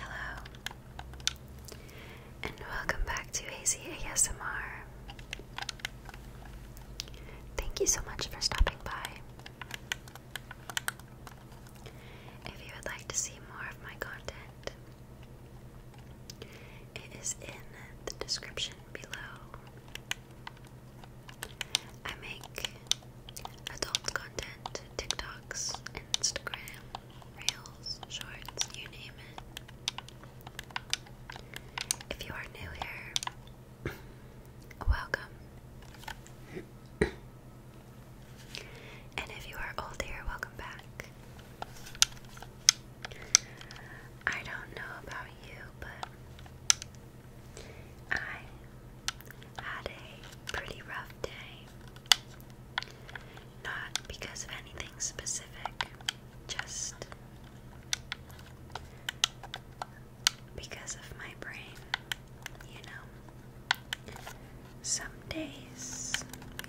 Hello, and welcome back to Hazy ASMR. Thank you so much for stopping by. If you would like to see more of my content, it is in the description below. I make adult content, TikToks, Instagram, Reels, Shorts, you name it. If you are new here, welcome. And if you are old here, welcome back. I don't know about you, but I had a pretty rough day. Not because of anything specific, just because of my brain, you know. Some days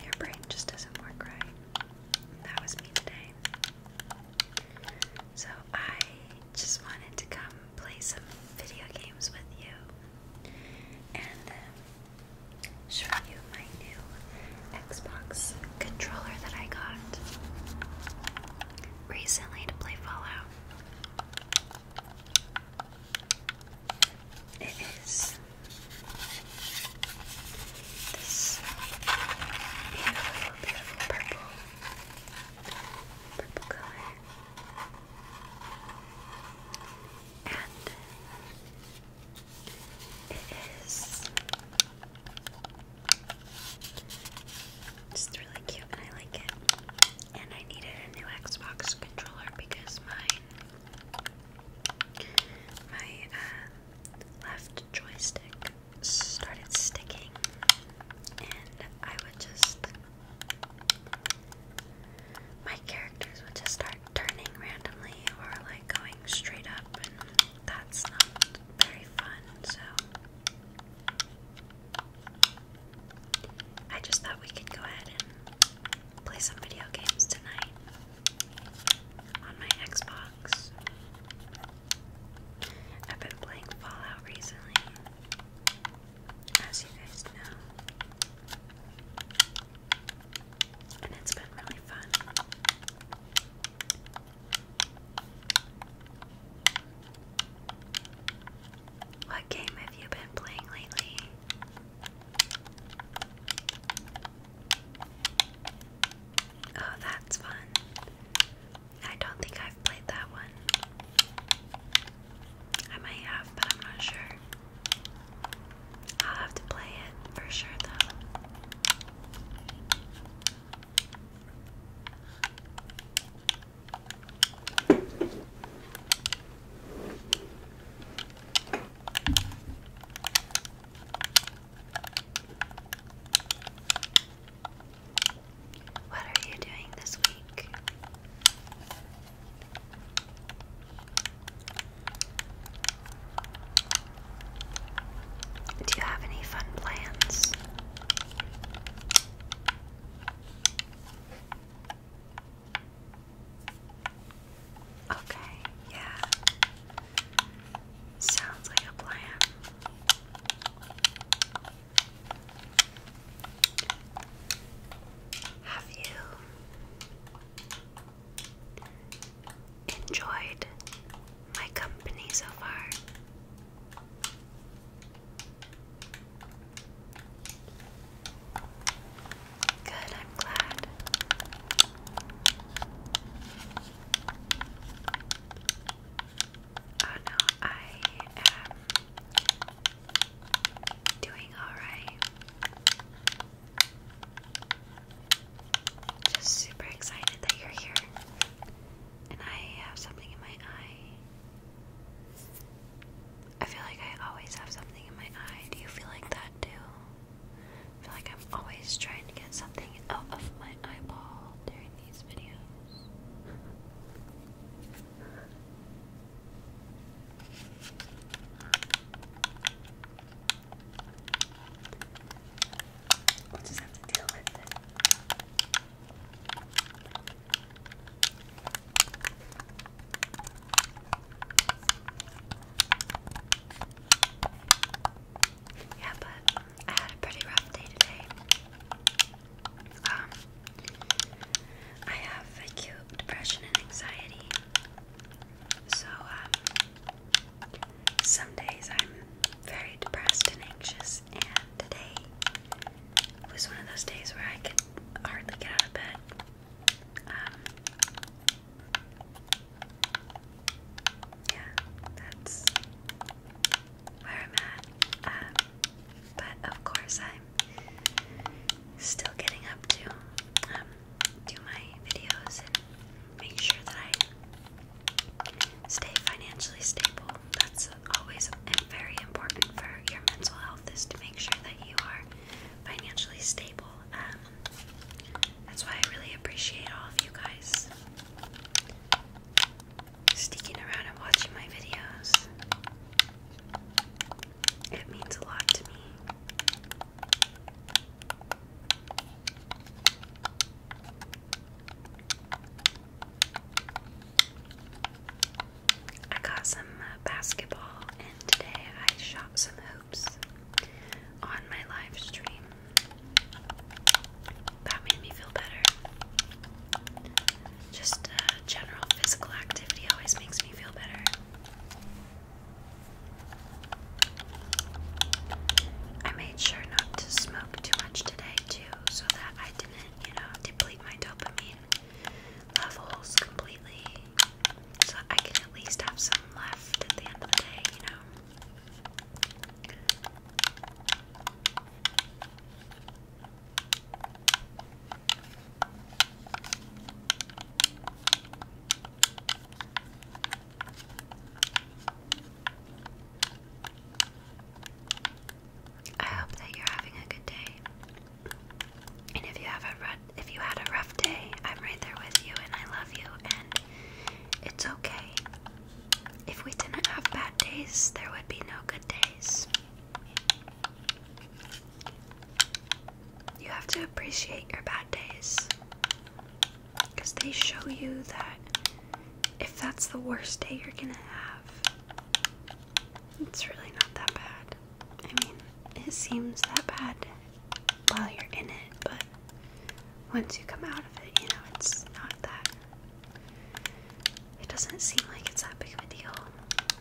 your brain just doesn't work right. That was me today. So I just wanted to come play some video games with you and then um, show you my new Xbox controller that I got recently to play Fallout. It is this beautiful, beautiful purple. Purple color. And it is just really cute and I like it. And I needed a new Xbox controller because mine my uh, left joystick started sticking and I would just my characters would just start turning randomly or like going straight up, and that's not very fun, so. I just thought we could go ahead and play some video games tonight on my Xbox. I've been playing Fallout recently as you guys know. And it's been really fun. What game have you been playing lately? Oh, that's fun. I don't think I've played that one. I might have, but I'm not sure. I'll have to play it for sure, though. What are you doing this week? Do you have any fun plans? Okay, yeah. Sounds like a plan. Have you enjoyed my company so far? Good, I'm glad. Oh no, I am Doing alright. Just super excited that you're here. And I have something in my eye. I feel like I always have something in my eye. Do you feel like that too? feel like I'm always trying to get something out of my eyeball during these videos. We'll just have to Yeah, but I had a pretty rough day today. Um, I have acute depression and anxiety. So, um, some days I'm very depressed and anxious, and today was one of those days where I could hardly get out of bed. Um, yeah, that's where I'm at. but of course, I'm still getting up to um, do my videos and make sure that I stay financially stable. That's always very important for your mental health is to make sure that you are financially stable. Um, that's why I really appreciate all of you guys sticking around and watching my videos. It means a lot to me. I got some uh, basketball, and today I shot some hoops on my live stream that made me feel better. Just uh, general physical activity always makes me feel better. I made sure not to smoke too much today, too, so that I didn't, you know, deplete my dopamine levels completely. So I can at least have some left at the end of the day, you know. I hope that you're having a good day. And if you have a rough, if you had a rough day, I'm right there with you, and I love you, and it's okay. If we didn't have bad days, there would be no good days. You have to appreciate your bad days because they show you that if that's the worst day you're gonna have, it's really not that bad. I mean, it seems that bad while you're in it, but once you come out of it, you know, it's not that it doesn't seem like it's that big of a deal.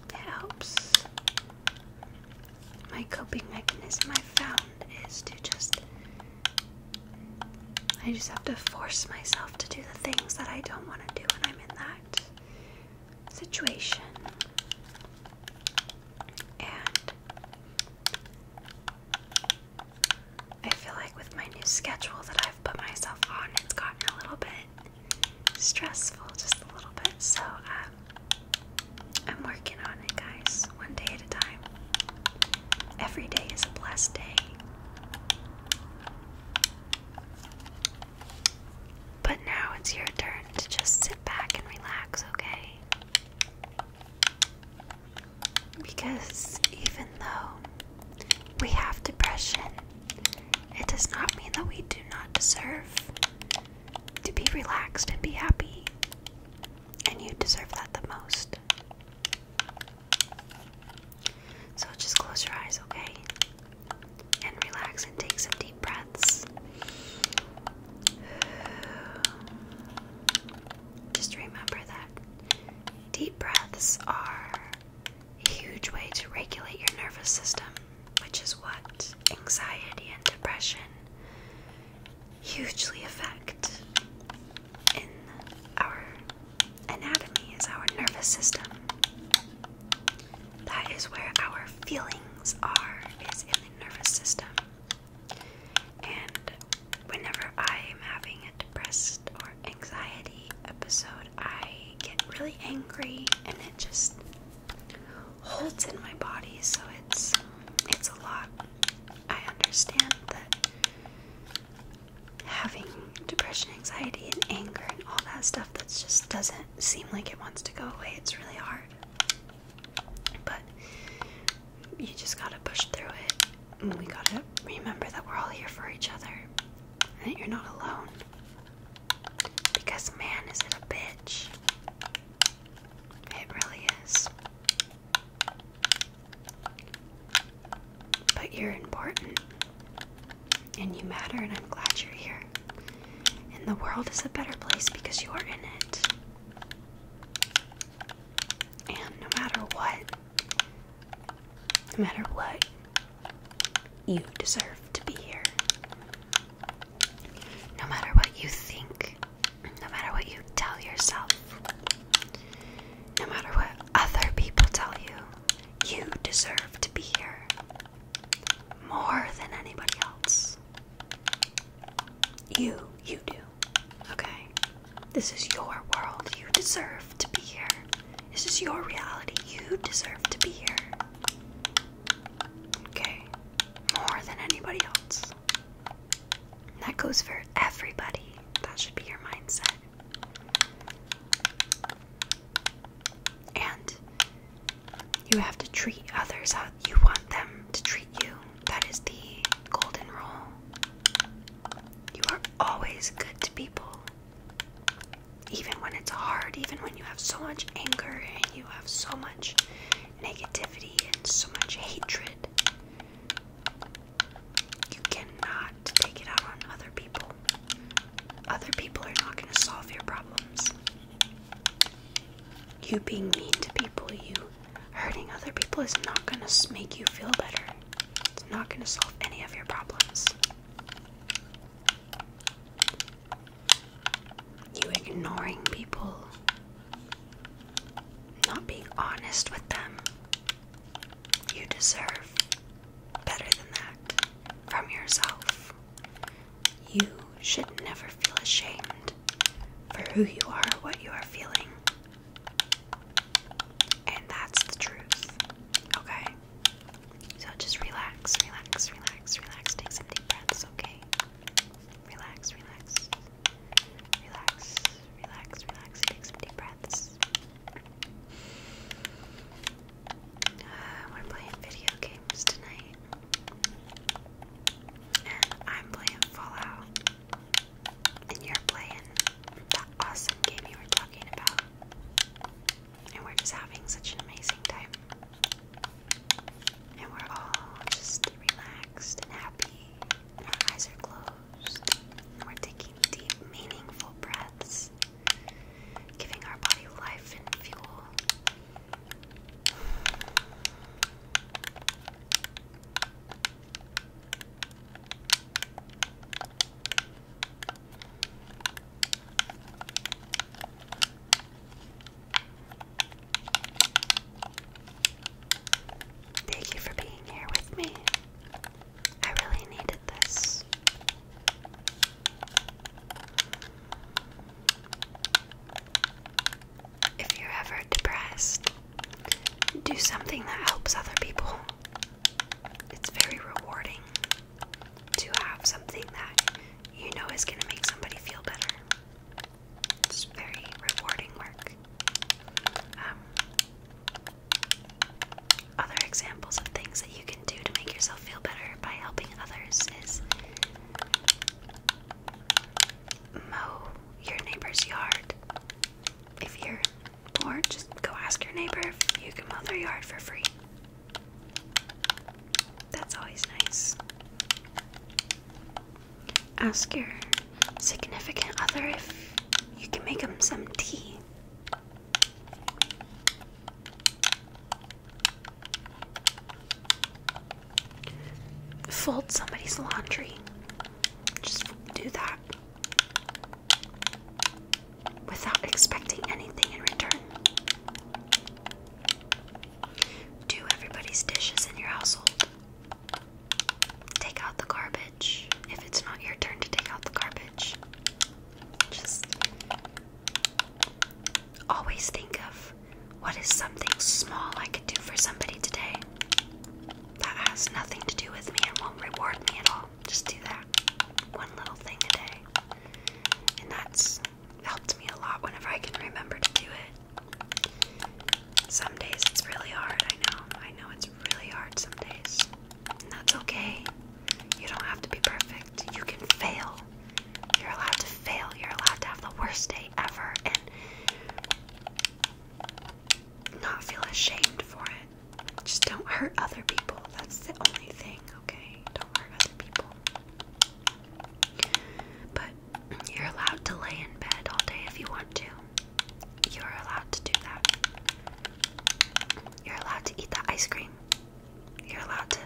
It helps. My coping mechanism I found is to just. I just have to force myself to do the things that I don't want to do when I'm in that situation. I feel like with my new schedule that I've put myself on, it's gotten a little bit stressful, just a little bit. So um, I'm working on it, guys, one day at a time. Every day is a blessed day. But now it's your turn to just sit back and relax, okay? Because even though we have depression, it does not mean that we do not deserve to be relaxed and be happy. And you deserve that the most. So just close your eyes, okay? And relax and take some deep breaths. Just remember that Deep breaths are a huge way to regulate your nervous system, which is what anxiety and depression hugely affect in our anatomy is our nervous system. That is where our feelings are, is in the nervous system. And whenever I am having a depressed or anxiety episode, I get really angry and it just holds in my body, so it's it's a lot. I understand that having depression, anxiety, and anger and all that stuff that just doesn't seem like it wants to go away. It's really hard. But you just gotta push through it we gotta remember that we're all here for each other and that you're not alone. Because, man, is it a bitch. It really is. But you're important and you matter, and I'm glad you're here. And the world is a better place because you are in it. And no matter what, no matter what, you deserve to be here. No matter what you think, no matter what you tell yourself, no matter what other people tell you, you deserve to be here more than anybody else. You, you do. Okay? This is your world. You deserve to be here. This is your reality. You deserve to be here. Okay? More than anybody else. That goes for everybody. That should be your mindset. And you have to treat others how you want them to treat you. That is the golden rule. You are always good to people. Even when it's hard, even when you have so much anger and you have so much negativity and so much hatred, you cannot take it out on other people. Other people are not going to solve your problems. You being mean to people, you Hurting other people is not going to make you feel better. It's not going to solve any of your problems. You ignoring people, not being honest with them, you deserve better than that from yourself. You should never feel ashamed for who you are, what you are feeling, and that's the truth. Okay? So just relax, relax, relax, relax. Take some deep breaths, okay? Relax, relax. Relax, relax, relax. Take some deep breaths. Uh, we're playing video games tonight. And I'm playing Fallout and you're playing that awesome game you were talking about. And we're just having such an amazing time. And we're all just relaxed and happy. And our eyes are closed. And we're taking deep, meaningful breaths, giving our body life and fuel. Thank you for being here with me. I really needed this. If you're ever depressed, do something that helps other people. It's very rewarding to have something that you know is going to make somebody feel better. It's very rewarding work. Um, other examples of things that you can do to make yourself feel better by helping others is mow your neighbor's yard if you're poor, just go ask your neighbor if you can mow their yard for free. That's always nice. Ask your significant other if you can make them some tea. Fold somebody's laundry. Just do that without expecting anything in return. Do everybody's dishes in your household. Take out the garbage if it's not your turn to take out the garbage. Just always think of what is something small I could do for somebody today that has nothing to do with me and won't reward me at all. Just do that one little thing today, And that's helped me a lot whenever I can remember to do it. Some days it's really hard, I know. I know it's really hard some days. And that's okay. You don't have to be perfect. You can fail. You're allowed to fail. You're allowed to have the worst day ever. And not feel ashamed for it. Just don't hurt other people. That's the only thing, okay? Don't hurt other people. But you're allowed to lay in bed all day if you want to. You're allowed to do that. You're allowed to eat that ice cream. You're allowed to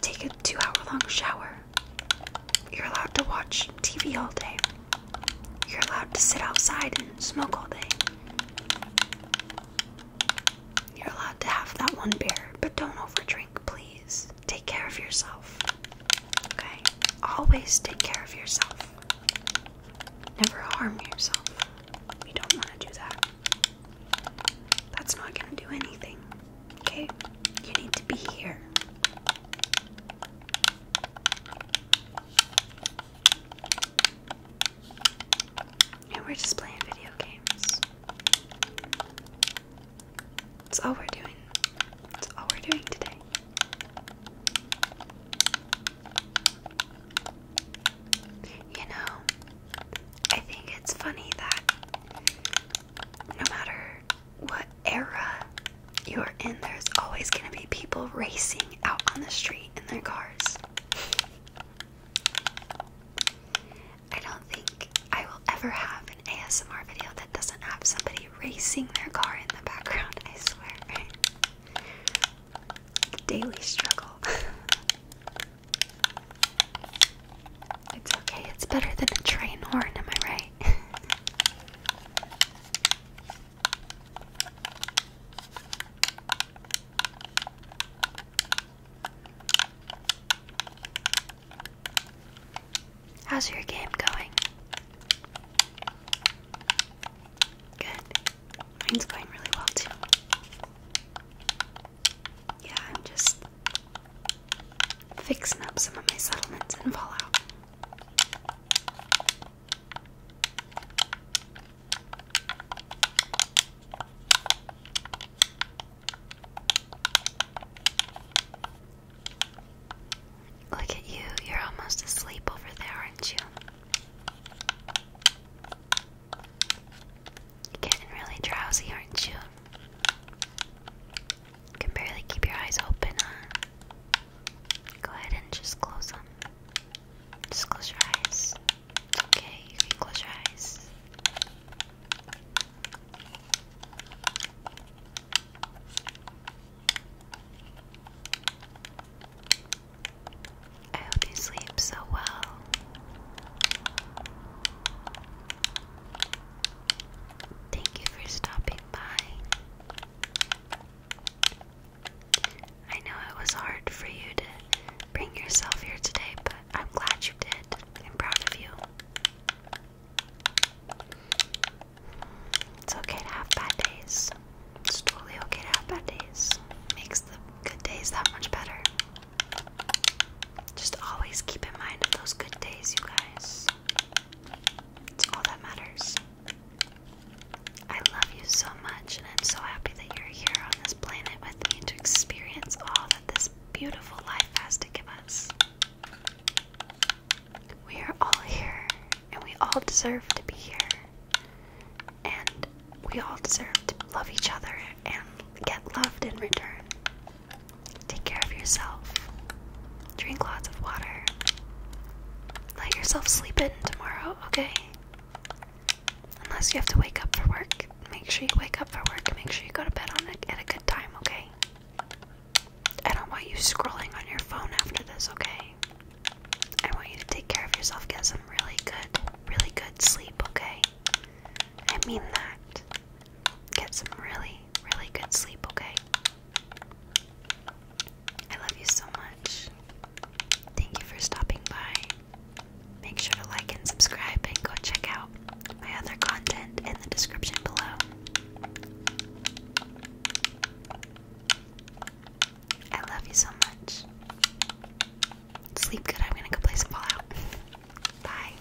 take a two hour long shower. You're allowed to watch TV all day. You're allowed to sit outside and smoke all day. You're allowed to have that one beer, but don't overdrink, please. Take care of yourself. Okay? Always take care of yourself. Never harm yourself. You don't want to do that. That's not going to do anything. Okay? You need to be here. And we're just playing video games. That's all we're doing. That's all we're doing today. You know, I think it's funny that no matter what era you're in, there's always going to be people racing out on the street in their cars. I don't think I will ever have an ASMR video that doesn't have somebody racing their car in the background, I swear. Daily struggle. it's okay, it's better than a train horn, am I right? How's your game going? Good. Mine's going really well too. Yeah, just fixing up some of my settlements and Fallout. Look at you, you're almost asleep over there, aren't you? getting really drowsy, aren't you? You can barely keep your eyes open, Go ahead and just close them. Just close your eyes. okay, you can close your eyes. I hope you sleep so well. Thank you for stopping by. I know it was hard for you to bring yourself here today, but I'm glad you did. I'm proud of you. It's okay to have bad days. It's totally okay to have bad days. Makes the good days that much better. Just always keep in mind of those good days, you guys. It's all that matters. I love you so much, and I'm so happy that you're here on this planet with me to experience all that this beautiful life has to give us. We are all here, and we all deserve to be here. And we all deserve to love each other and get loved in return. Take care of yourself. Drink lots of water. Let yourself sleep in tomorrow, okay? Unless you have to wake up for work. Make sure you wake up for work. Make sure you go to bed on a, at a good time, okay? I don't want you scrolling on your phone after this, okay? I want you to take care of yourself, get some really good, really good sleep, okay? I mean that. Get some really, really good sleep, okay? I love you so much. Thank you for stopping by. Make sure to like and subscribe and go check out my other content in the description below. I love you so much. Sleep good. I'm gonna go play some Fallout. Bye.